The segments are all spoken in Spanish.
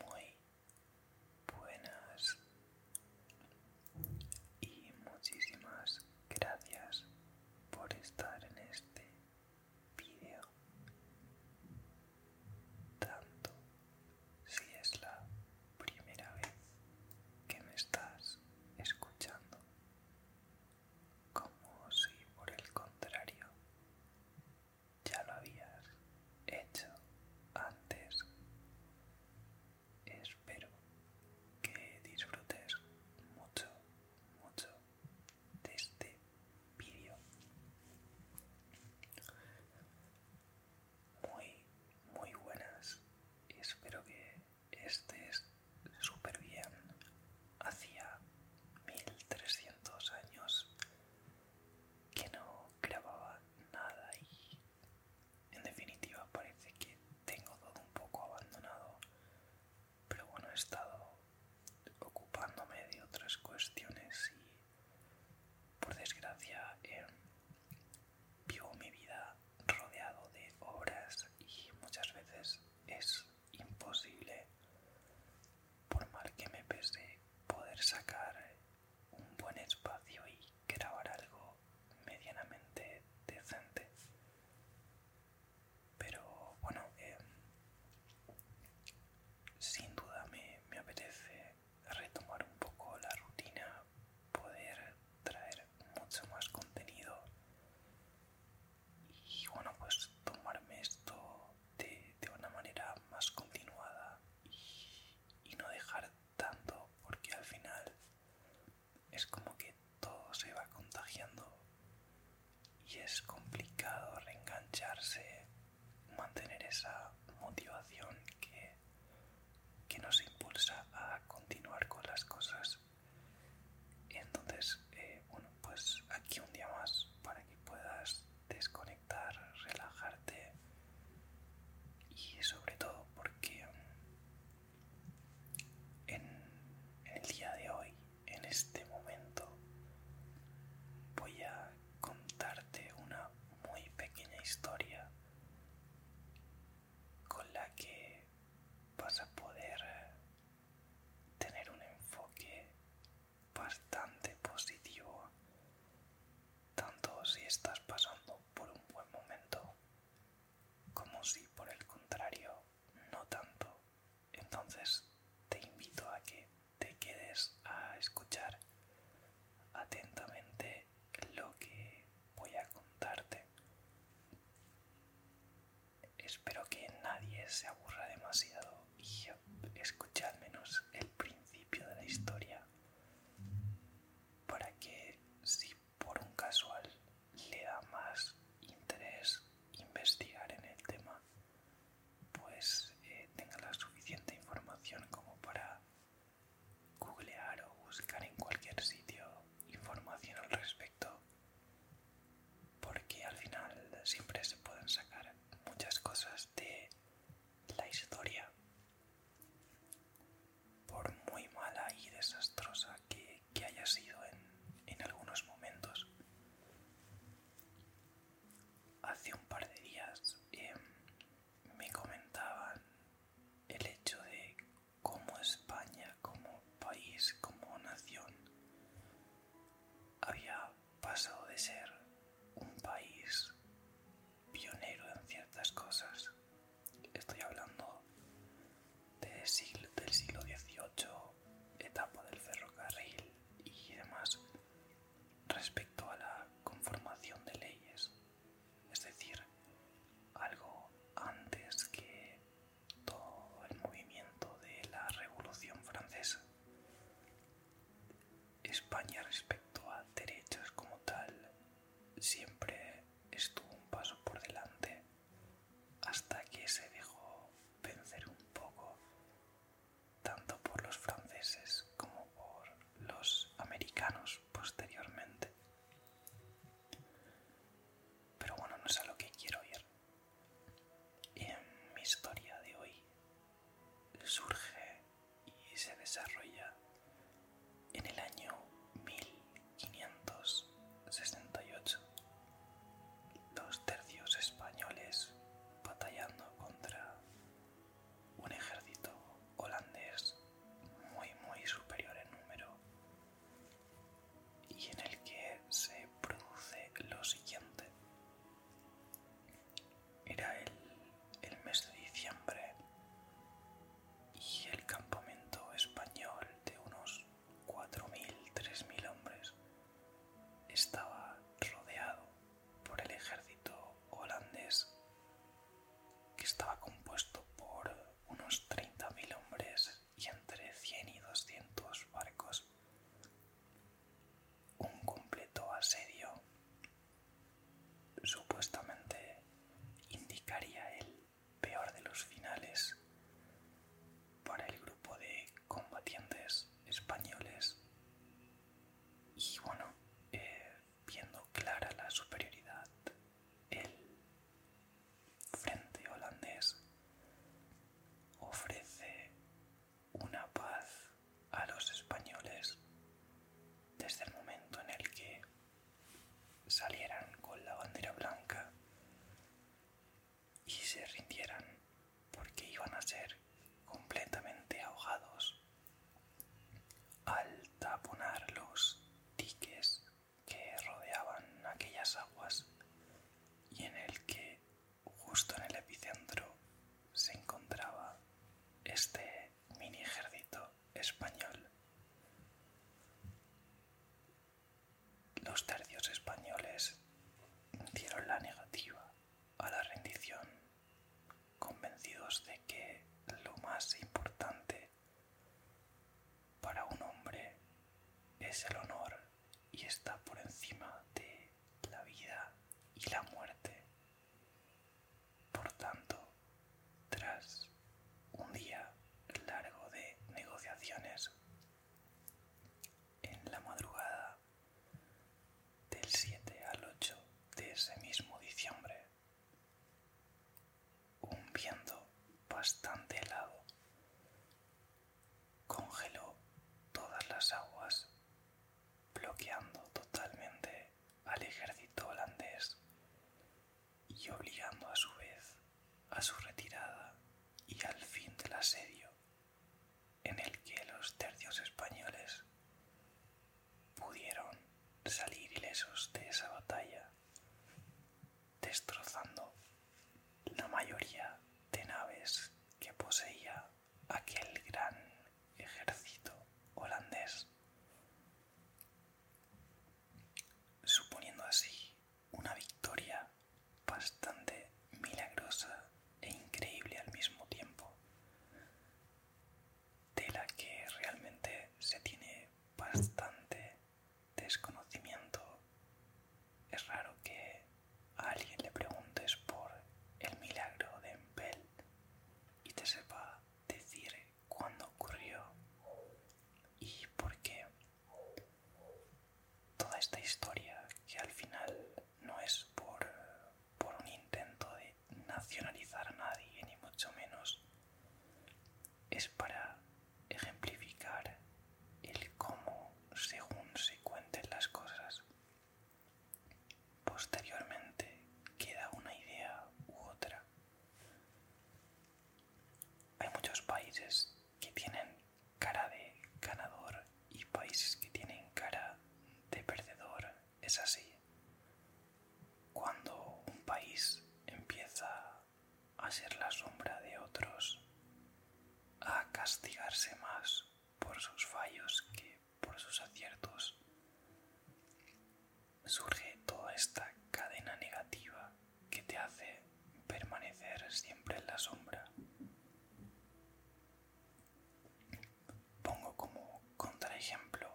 Muy buenas y muchísimas gracias por estar en este vídeo. Tanto si es la primera vez que me estás escuchando como si por el contrario ya lo habías hecho antes. Espero que disfrutes mucho, mucho de este vídeo. Muy, muy buenas. Espero que estés súper bien hacía 1300 años que no grababa nada y en definitiva parece que tengo todo un poco abandonado pero bueno he estado ocupándome de otras cuestiones y por desgracia vivo mi vida rodeado de obras y muchas veces es imposible, por mal que me pese, poder sacar un buen espacio y grabar algo medianamente decente. Pero bueno, eh, sin duda me, me apetece retomar un poco la rutina, poder traer mucho más contenido y bueno pues tomarme esto de, una manera más continuada y, y no dejar tanto porque al final es como que todo se va contagiando y es complicado reengancharse, mantener esa motivación que, que nos impulsa a continuar con las cosas entonces, eh, bueno, pues aquí un día más para que puedas desconectar, relajarte y sobre todo porque en el día de hoy, en este momento, voy a contarte una muy pequeña historia con la que vas a poder tener un enfoque bastante positivo, tanto si estás pasando por un buen momento como si por el contrario no tanto. Entonces te invito a que te quedes a escuchar atentamente lo que voy a contarte. Espero que nadie se aburra demasiado y escuche al menos el principio de la historia para que si por un casual le da más interés investigar en el tema, pues eh, tenga la suficiente información como para googlear o buscar en cualquier sitio información al respecto porque al final siempre se pueden sacar muchas cosas de la historia por muy mala y desastrosa que, haya sido en, algunos momentos hace un par de días eh, me comentaban el hecho de como España, como país, como nación, había pasado de ser un país pionero en ciertas cosas. Estoy hablando del siglo XVIII, etapa del ferrocarril y demás, respecto a la conformación de leyes, es decir, algo antes que todo el movimiento de la Revolución Francesa. España respecto a derechos como tal siempre estuvo un paso por delante hasta que se dejó vencer un poco tanto por los franceses como por los americanos posteriormente. Pero bueno, no es a lo que quiero ir. En mi historia de hoy surge y se desarrolla en el año 1568. Dos tercios españoles batallando contra un ejército holandés muy muy superior en número y en el que se produce lo siguiente. Era el, mes de diciembre y el campamento español de unos 4.000, 3.000 hombres estaba rodeado por el ejército holandés que estaba compuesto por unos 30.000 hombres y entre 100 y 200 barcos. Un completo asedio supuestamente indicaría el peor de los finales para el grupo de combatientes españoles y bueno eh, viendo clara la superioridad el frente holandés ofrece una paz a los españoles desde el momento en el que salieran con la bandera blanca y se rindieran porque iban a ser completamente ahogados al taponar los diques que rodeaban aquellas aguas y en el que justo en el epicentro se encontraba este mini ejército español. Los tercios españoles dieron la negativa a la rendición, convencidos de que lo más importante para un hombre es el honor y está por encima de la vida y la muerte. Por tanto, tras un día largo de negociaciones, en la madrugada del 7 al 8 de ese mismo diciembre, un viento bastante helado congeló todas las aguas, bloqueando totalmente al ejército holandés y obligando a su vez a su retirada y al fin del asedio, en el que los tercios españoles pudieron salir ilesos de esa batalla destrozando la mayoría de naves que poseía aquel gran ejército holandés, suponiendo así una victoria bastante milagrosa e increíble al mismo tiempo de la que realmente se tiene bastante desconocimiento. Es raro que alguien le preguntes por el milagro de Empel y te sepa decir cuándo ocurrió y por qué. Toda esta historia que al final no es por, por un intento de nacionalizar a nadie, ni mucho menos. Es para ejemplificar el cómo según se cuenten las cosas. Posteriormente queda una idea u otra. Hay muchos países que tienen cara de ganador y países que tienen cara de perdedor es así. Cuando un país empieza a ser la sombra de otros, a castigarse más por sus fallos que por sus aciertos, surge toda esta cadena negativa que te hace permanecer siempre en la sombra. Pongo como contraejemplo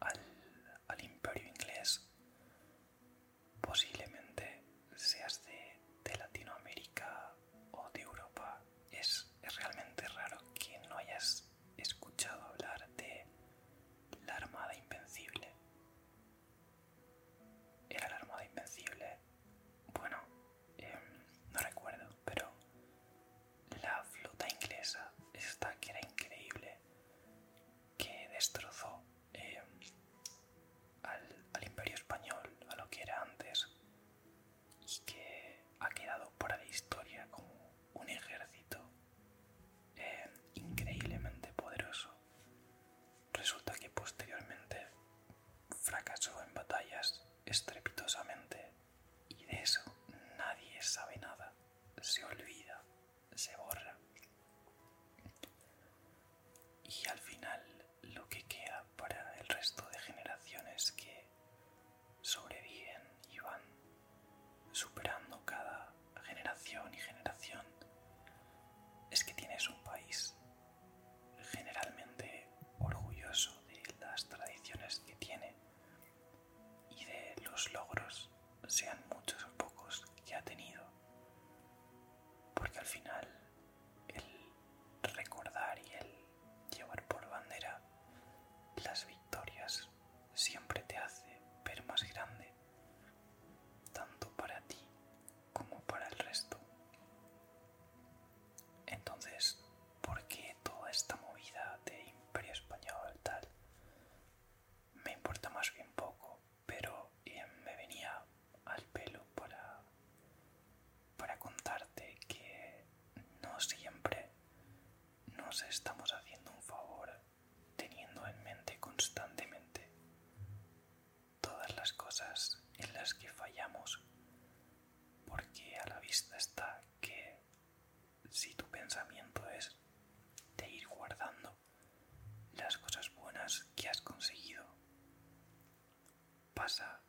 al, imperio inglés, posiblemente seas de, Latinoamérica o de Europa. Es, realmente raro que no hayas escuchado hablar de la Armada Invencible. ¿Era la Armada Invencible? Bueno, em, no recuerdo, pero la flota inglesa, esta que era increíble, que destrozó eh, al, imperio español, a lo que era antes, y que ha quedado para la historia como un ejército eh, increíblemente poderoso. Resulta que posteriormente fracasó en batallas estrepitosamente y de eso nadie sabe nada. Se olvida, se borra. Y al final lo que queda para el resto de generaciones que sobreviven y van superando cada generación y generación es que tienes un país generalmente orgulloso de las tradiciones que tiene y de los logros, sean muchos o pocos, que ha tenido. Porque al final el recordar y el llevar por bandera las victorias siempre te hace ver más grande, tanto para ti como para el resto. Entonces, porque toda esta movida de imperio español tal me importa más bien poco, pero eh, me venía al pelo para, para contarte que no siempre nos estamos haciendo un favor teniendo en mente constantemente todas las cosas en las que fallamos porque a la vista está que si tu pensamiento es de ir guardando las cosas buenas que has conseguido, pasa a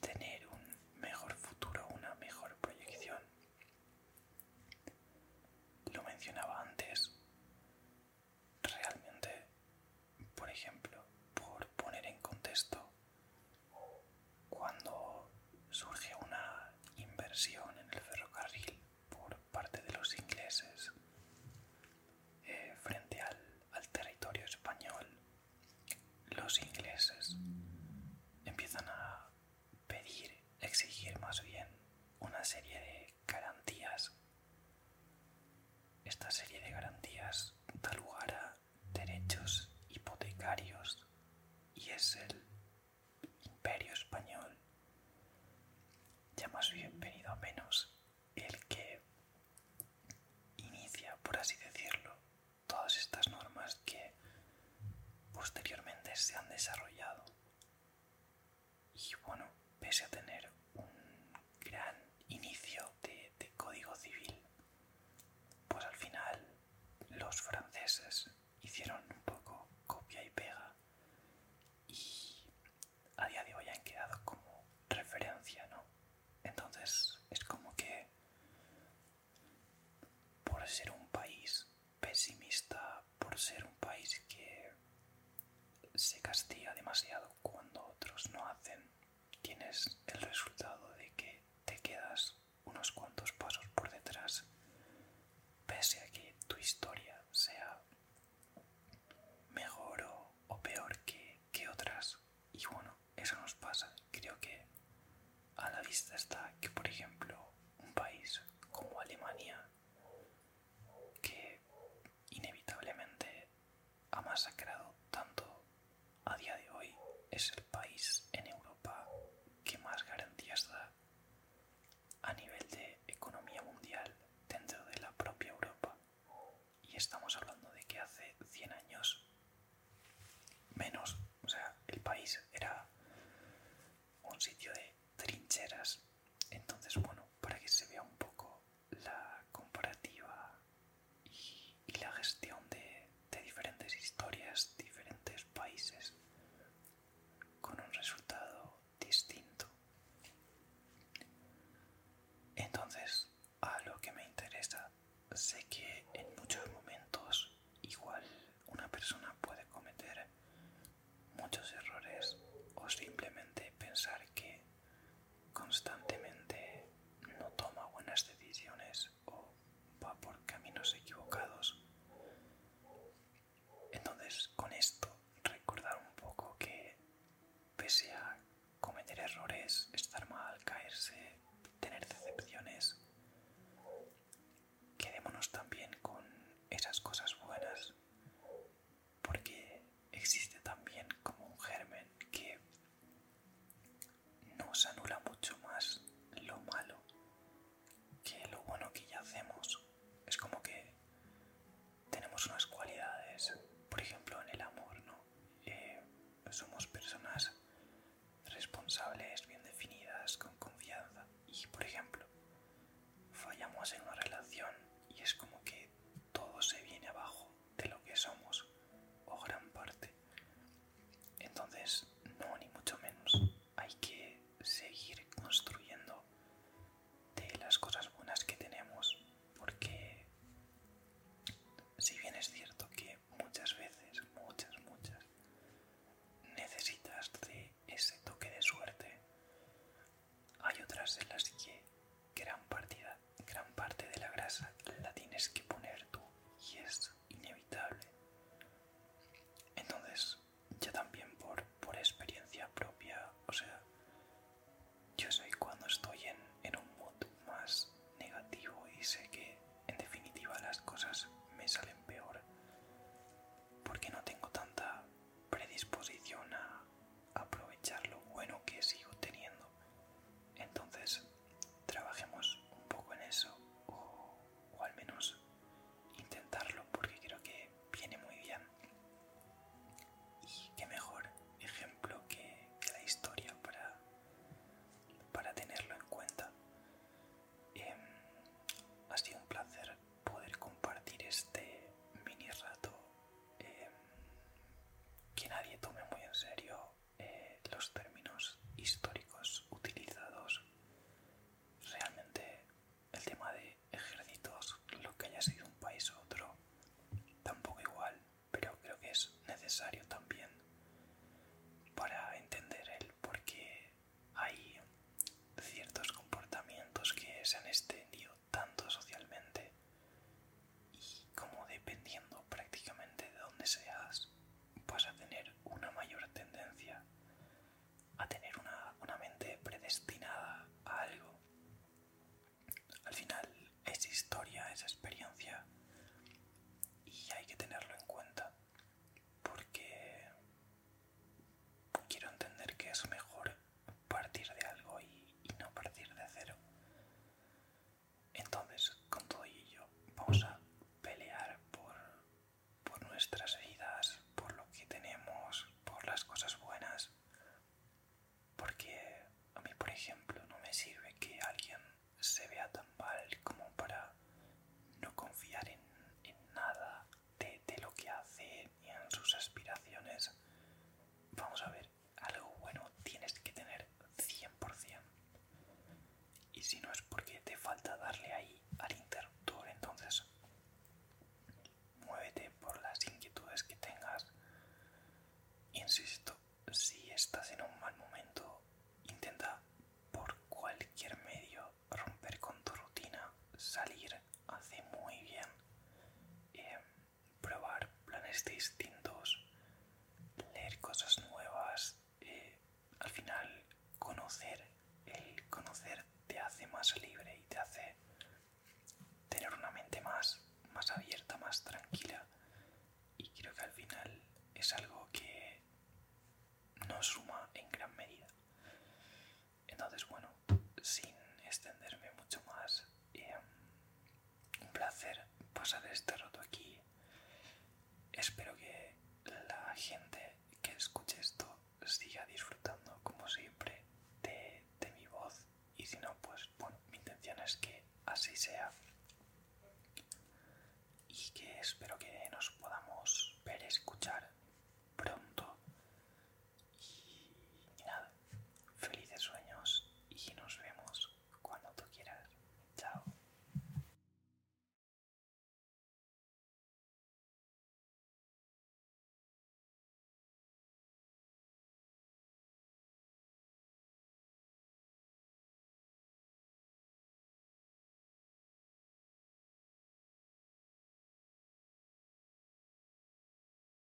tener un mejor futuro, una mejor proyección. Lo mencionaba antes. Realmente, por ejemplo, por poner en contexto cuando surge una inversión en el ferrocarril por parte de los ingleses eh, frente al, al territorio español, los ingleses empiezan a pedir, exigir más bien una serie de garantías. Esta serie de garantías da lugar a derechos hipotecarios y es el imperio español, ya más bien venido a menos, el que inicia, por así decirlo, todas estas normas que posteriormente se han desarrollado. Y bueno, pese a tener un gran inicio de, de código civil, pues al final los franceses hicieron un poco copia y pega y a día de hoy han quedado como referencia, ¿no? Entonces es como que por ser un país pesimista, por ser un país que se castiga demasiado cuando otros no hacen, tienes el resultado de que te quedas unos cuantos pasos por detrás, pese a que tu historia sea mejor o, peor que, que otras. Y bueno, eso nos pasa. Creo que a la vista está que, por ejemplo, un país como Alemania, que inevitablemente ha masacrado tanto a día de hoy es el país en Europa que más garantías da a nivel de economía mundial dentro de la propia Europa. Y estamos hablando de que hace 100 años menos, o sea, el país era un sitio de trincheras. Entonces, bueno, para que se vea un poco la comparativa y la gestión de, diferentes historias, diferentes países, con un resultado distinto. Entonces, a lo que me interesa, sé que en muchos momentos igual una persona puede cometer muchos errores o simplemente pensar que constantemente no toma buenas decisiones o va por caminos equivocados. Entonces, con esto, recordar un poco que pese a cometer errores, estar mal, caerse, tener decepciones, quedémonos también con esas cosas buenas, porque existe también como un germen que nos anula mucho más lo malo que lo bueno que ya hacemos. Es como que tenemos unas cualidades, por ejemplo, en el amor, ¿no? Eh, somos personas responsables, bien definidas, con confianza. Y, por ejemplo, fallamos en una relación y es como que todo se viene abajo de lo que somos, o gran parte. Entonces, no, ni mucho menos. Hay que seguir construyendo de las cosas buenas que tenemos, porque si bien es cierto que muchas veces, muchas, muchas, necesitas de ese toque de suerte, hay otras de las que gran partida gran parte de la grasa la tienes que poner tú y es inevitable. Entonces, yo también por, por experiencia propia, o sea, yo soy cuando estoy en, en un mood más negativo y sé que en definitiva las cosas me salen peor porque no tengo tanta predisposición a aprovechar lo bueno que sigo teniendo entonces, trabajemos un poco en eso o, al menos intentarlo porque creo que viene muy bien. Y qué mejor ejemplo que, la historia para, para tenerlo en cuenta. Em, ha sido un placer poder compartir este mini rato em, que nadie tome muy en serio eh, los términos históricos utilizados. Realmente el tema de ejércitos, lo que haya sido un país u otro, tampoco igual, pero creo que es necesario también para entender el por qué hay ciertos comportamientos que se han extendido tanto socialmente y como dependiendo prácticamente de dónde seas vas a tener una mayor tendencia a tener una, mente predestinada a algo al final es historia es experiencia y hay que tenerlo en cuenta porque quiero entender que es mejor partir de algo y no partir de cero entonces, con todo ello, vamos a pelear por, por nuestras vidas, por lo que tenemos, por las cosas buenas. Porque a mí, por ejemplo, no me sirve que alguien se vea tan mal como para no confiar en, nada de, de lo que hace ni en sus aspiraciones. Vamos a ver, algo bueno tienes que tener 100%. Y si no es porque te falta darle ahí al interruptor, entonces muévete por las inquietudes que tengas. Insisto, si estás en un mal momento, intenta por cualquier medio romper con tu rutina, salir, hace muy bien. Em, probar planes distintos, leer cosas nuevas, eh, al final conocer, el conocer te hace más libre y te hace tener una mente más, más abierta, más tranquila. Y creo que al final es algo que nos suma en gran medida. Entonces, bueno, sin extenderme mucho más, em, un placer pasar este rato aquí. Espero que la gente que escuche esto siga disfrutando como siempre de, mi voz y si no, pues bueno, mi intención es que así sea y que espero que nos podamos ver escuchar pronto y nada, felices sueños y nos vemos cuando tú quieras. Chao.